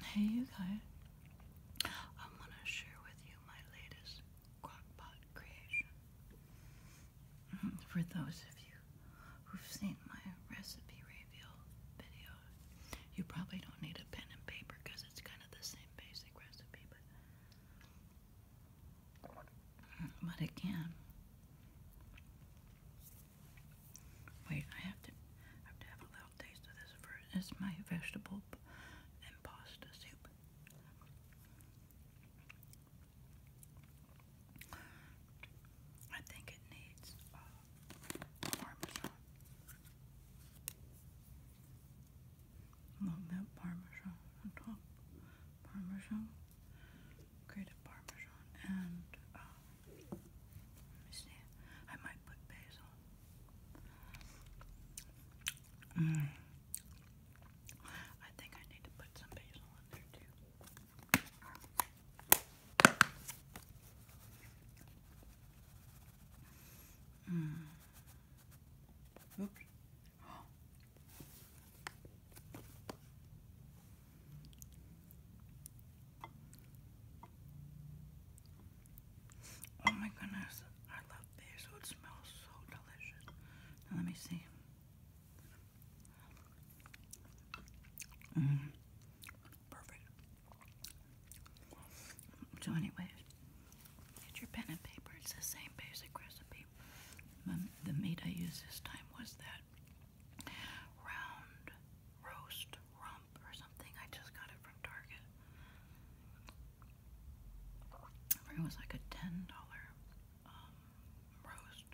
Hey you guys, I'm gonna share with you my latest crockpot creation. Mm-hmm. For those of you who've seen my recipe reveal video, you probably don't need a pen and paper because it's kind of the same basic recipe, but but can. Wait, I have to have to have a little taste of this first. It's my vegetable and pasta soup. I think it needs uh, parmesan. A little bit parmesan on top. Parmesan, grated parmesan, and uh, let me see. I might put basil. Mm. I think I need to put some basil in there too. Mm. Oops. Oh. Oh my goodness, I love this. Oh, it smells so delicious. let me see. Mm, perfect. So anyways, get your pen and paper. It's the same basic recipe. the meat I used this time was that round roast rump or something. I just got it from Target. It was like a ten dollar um, roast,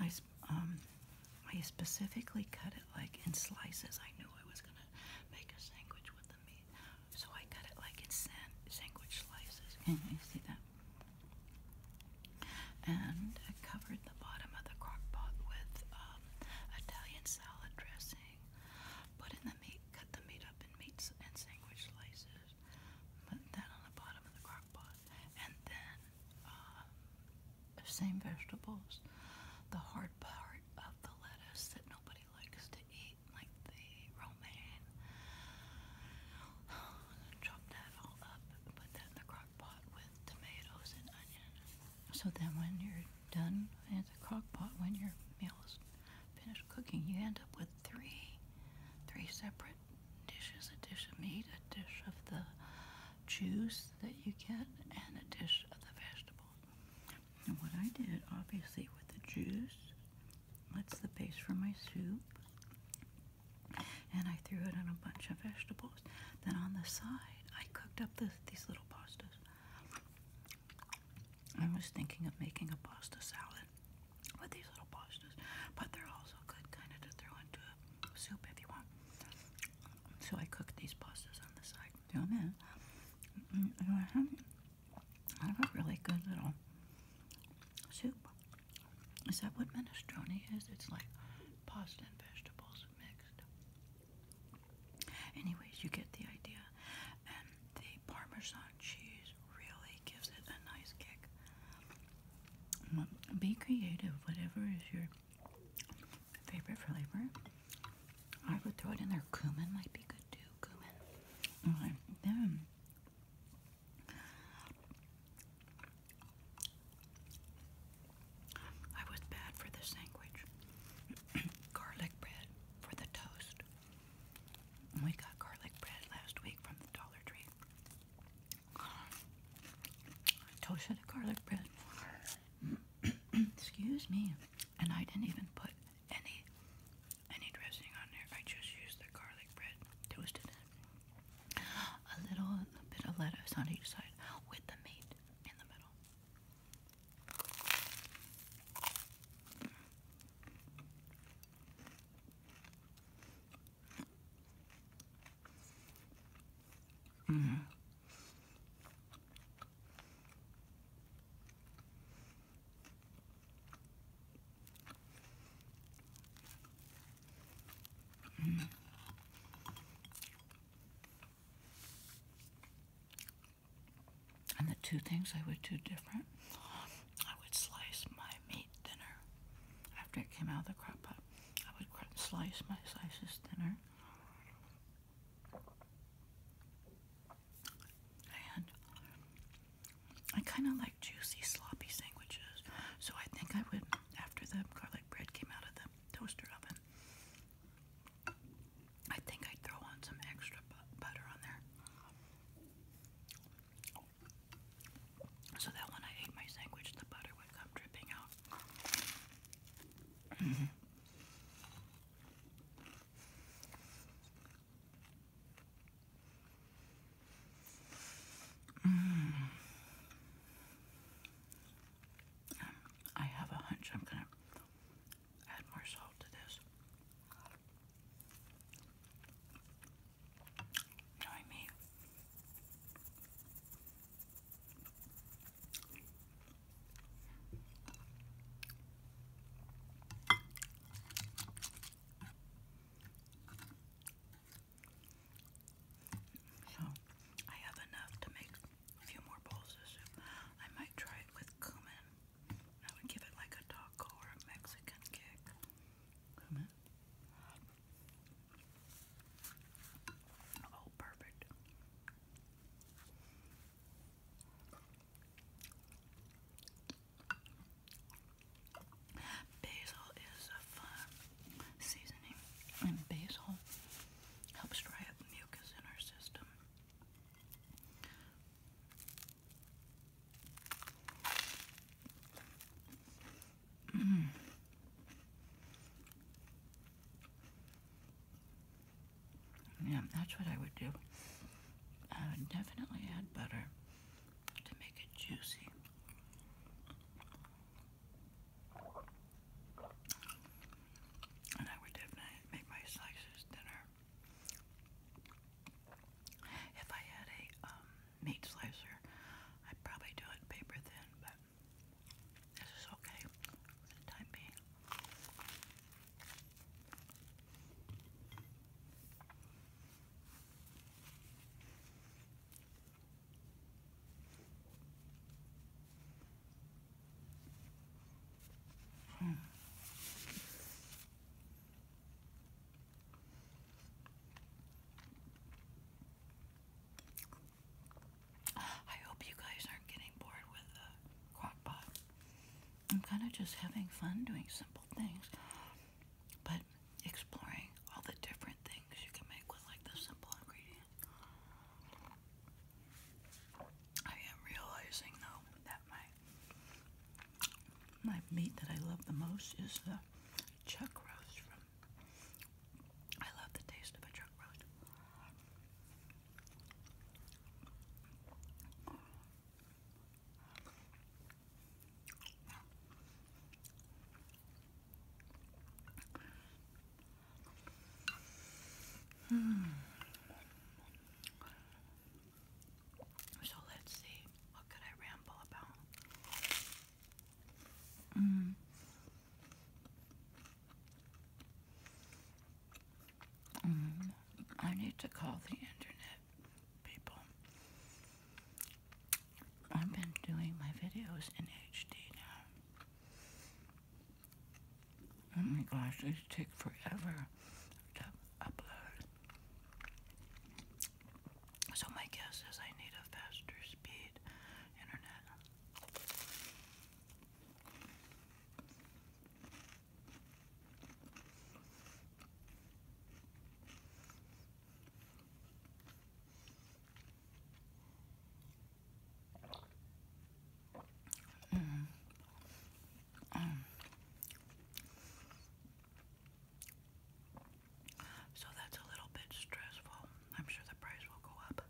I um I specifically cut it like in slices. I knew I was gonna make a sandwich with the meat, so I cut it like in sandwich slices. Can you see that? And I covered the bottom of the crock pot with um, Italian salad dressing. Put in the meat, cut the meat up in meats and sandwich slices. Put that on the bottom of the crock And then, um, same vegetables. The hard part of the lettuce that nobody likes to eat, like the romaine. Chop that all up, put that in the crock pot with tomatoes and onion. So then when you're done in the crock pot, when your meal is finished cooking, you end up with three, three separate dishes, a dish of meat, a dish of the juice that you get, and a dish of the vegetables. And what I did, obviously, with the juice, that's the base for my soup and I threw it in a bunch of vegetables. Then on the side, I cooked up these little pastas. I was thinking of making a pasta salad with these little pastas, but they're also good kind of to throw into a soup if you want. So I cooked these pastas on the side, threw them in, I have, I have a really good little soup. Is that what minestrone is? It's like pasta and vegetables mixed. Anyways, you get the idea. And the Parmesan cheese really gives it a nice kick. Mm, be creative, whatever is your favorite flavor. I would throw it in there. Cumin might be good too. Cumin. Okay. Then I was bad for the sandwich. garlic bread for the toast. We got garlic bread last week from the Dollar Tree. Toasted garlic bread. Excuse me. And I didn't even put any any dressing on there. I just used the garlic bread, toasted a little bit of lettuce on each side with the meat in the middle. Mm. Mm. And the two things I would do different, I would slice my meat dinner after it came out of the crock pot. I would slice my slices dinner, And I kind of like juicy, sloppy sandwiches. So I think I would, after them garlic bread came out of the toaster oven. I think i throw on some extra butter on there. So that when I ate my sandwich, the butter would come dripping out. Mm-hmm. Mm. I have a hunch I'm going to add more salt to this. Knowing me, so I have enough to make a few more bowls of soup. I might try it with cumin. I would give it like a taco or a Mexican kick. Cumin. Oh, perfect. Basil is a fun seasoning, and basil helps dry up mucus in our system. Mm. Yeah, that's what I would do. I would definitely add butter to make it juicy. And I would definitely make my slices thinner. If I had a um, meat slicer, I'd probably do it paper thin, but this is okay for the time being. I hope you guys aren't getting bored with the crock I'm kind of just having fun doing simple things but exploring all the different things you can make with like the simple ingredient. I am realizing though that my my meat that I love the most is the chuck roast I love the taste of a chuck roast. Hmm. So let's see, what could I ramble about? Mm. Mm. I need to call the internet people. I've been doing my videos in HD now. Oh my gosh, these take forever to upload. So my guess is I need a faster speed internet. Mm. Um. So that's a little bit stressful. I'm sure the price will go up.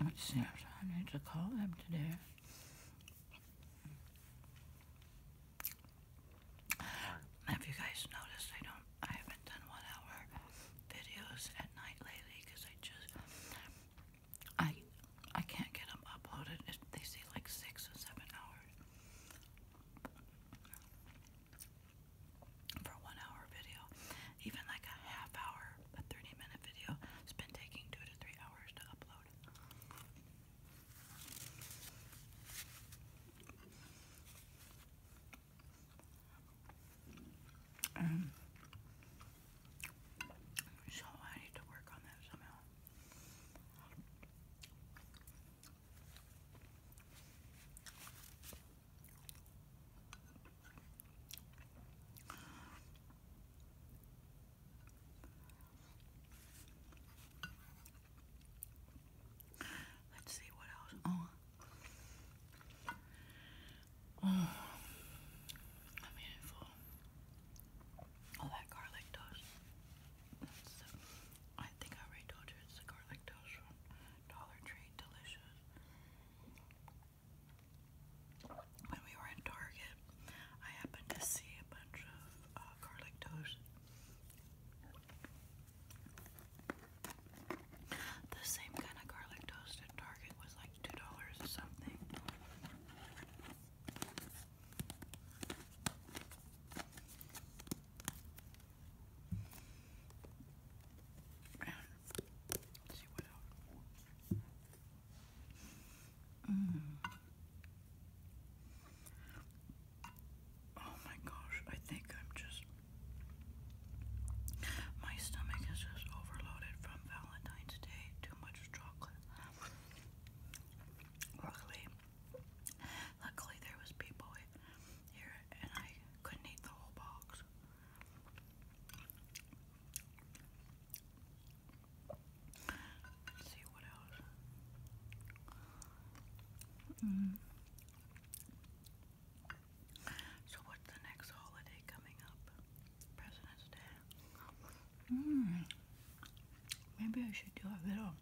I need to call them today. Have you guys noticed I don't I haven't done one hour videos at night lately because I just I I can't get them uploaded. they say like six or seven hours for a one hour video. Even like a half hour, a 30 minute video, it's been taking two to three hours to upload. Um, so I need to work on that somehow. Let's see what else. Oh. Oh, I'm eating All that garlic toast. I think I already told you it's the garlic toast one. Dollar Tree delicious. When we were in Target, I happened to see a bunch of uh, garlic toast. The same kind of garlic toast at Target was like two dollars or something. And see Oh my gosh, I think I'm just. My stomach is just overloaded from Valentine's Day. Too much chocolate. Luckily, luckily there was people Mm. So, what's the next holiday coming up? President's Day. Hmm. Maybe I should do a little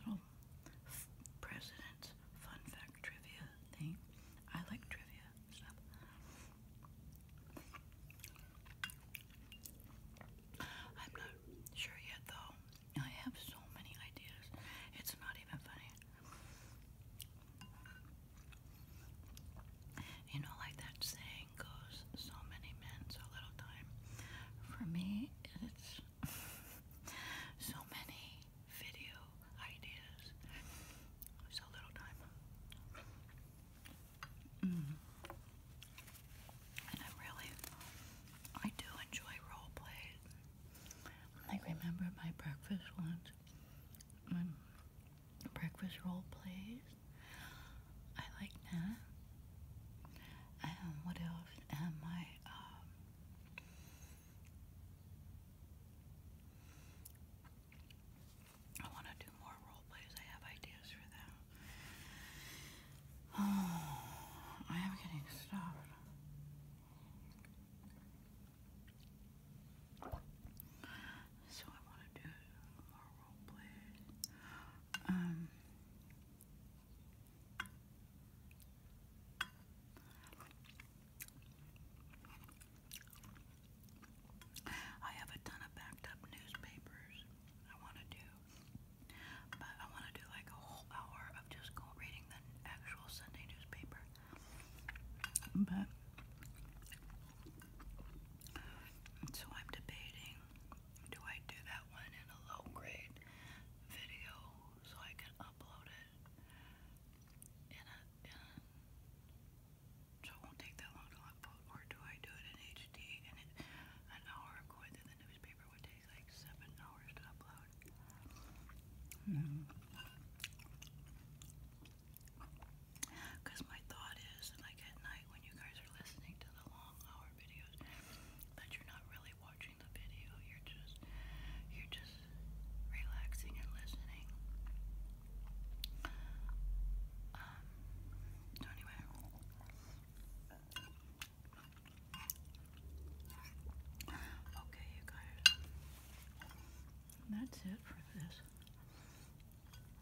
Little president fun fact trivia thing. I like trivia I'm not sure yet, though. I have so many ideas. It's not even funny. You know, like that saying, goes, so many men, so little time. For me, it's so many video ideas, so little time. Mm. And I really, I do enjoy role play. I remember my breakfast once, my breakfast role plays, I like that. And um, what else? And my I um, want to do more role plays. I have ideas for that. Oh, I am getting stuffed. So I want to do more role plays. Um, I have a ton of backed up newspapers I want to do, but I want to do like a whole hour of just go reading the actual Sunday newspaper. But so I'm debating do I do that one in a low grade video so I can upload it so it won't take that long to upload or do I do it in HD and it, an hour going through the newspaper would take like seven hours to upload. Hmm. Cause my thought is like at night when you guys are listening to the long hour videos that you're not really watching the video, you're just you're just relaxing and listening. Um, so anyway Okay you guys that's it for this.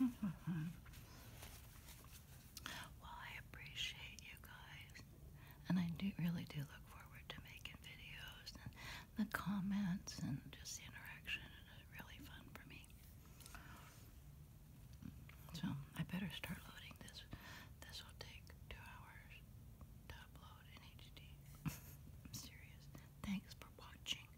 well, I appreciate you guys, and I do really do look forward to making videos and the comments and just the interaction. It's really fun for me. So I better start loading this. This will take two hours to upload in HD. serious. Thanks for watching.